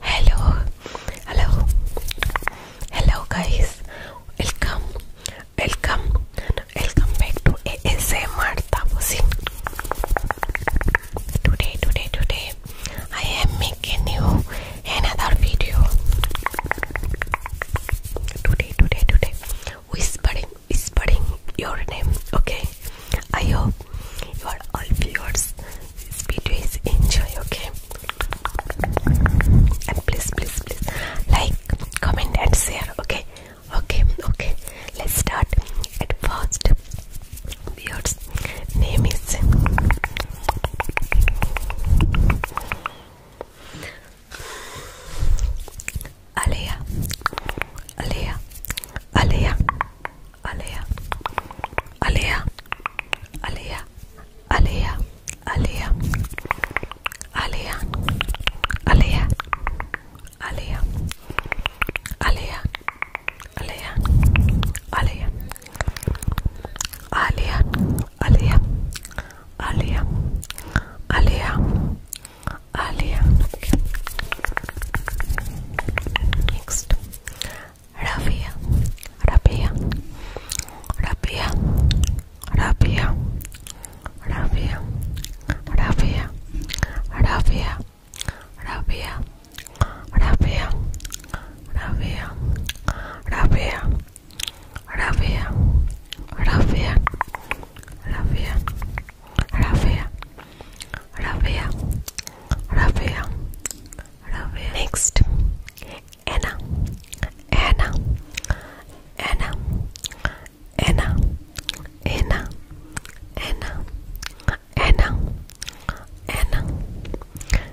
Hello, hello, hello, guys. Welcome, welcome, welcome back to ASMR Taposin. Today, today, today, I am making you another video today, today, today. Whispering, whispering your name. Okay, I hope you are all viewers. This video is enjoy. Okay, and please, please, please like, comment, and share. Okay, okay, okay. Let's start. At first, Beard's name is Alea, Alea, Alea, Alea, Alea, Alea, Alea, Alea, Alea, Alea, Alea, Alea. Alea, Alea, Alea, Alea, Alea, Alea, Alea. Next, Rabia, Rabia, Rabia, Rabia, Rabia, Rabia, Rabia, Rabia. Rabia, Rabia, Rabia, Rabia, Rabia, Rabia, Rabia, Rabia, Rabia, Rabia. Next, Anna, Anna, Anna, Anna, Anna, Anna, Anna, Anna,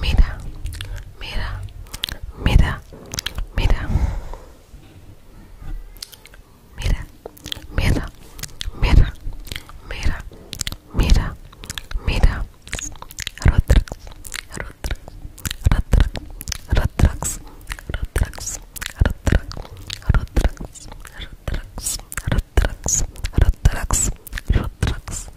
mira, mira, mira, mira, mira, mira, mira, mira, mira, mira, Rotrax, Rotrax, Rotrax, Rotrax, Rotrax, Rotrax, Rotrax, Rotrax, Rotrax, Rotrax, Rotrax,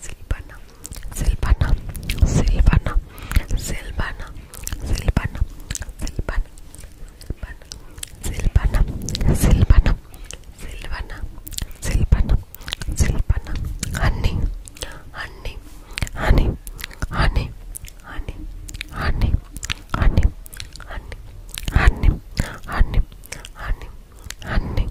Silvana, Silvana, Silvana, Silvana, Silvana, Silvana, Silvana, Silvana, Silvana, Silvana, Silvana, honey, honey, honey, honey, honey, honey, honey, honey, honey, honey, honey, honey,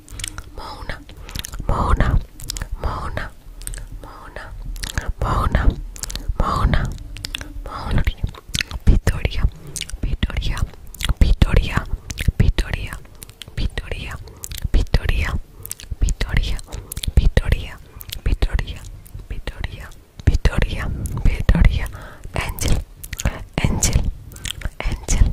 Mona, Mona, Mona, Mona, Mona, Mona, Mona, Victoria, Victoria, Victoria, Victoria, Victoria, Victoria, Victoria, Victoria, Victoria, Victoria, Victoria, Victoria, Angel, Angel, Angel,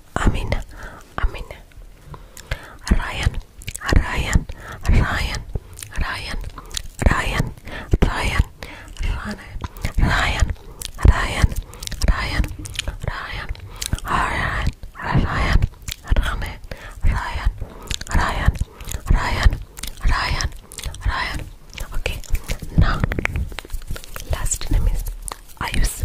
Amina, Amina. Ryan, Ryan, Ryan, Ryan, Ryan, Ryan, Ryan, Ryan, Ryan, Ryan, Ryan, Ryan, Ryan, Ryan, Ryan, Ryan, Ryan, Ryan, Ryan. Okay, now last name is Ayus.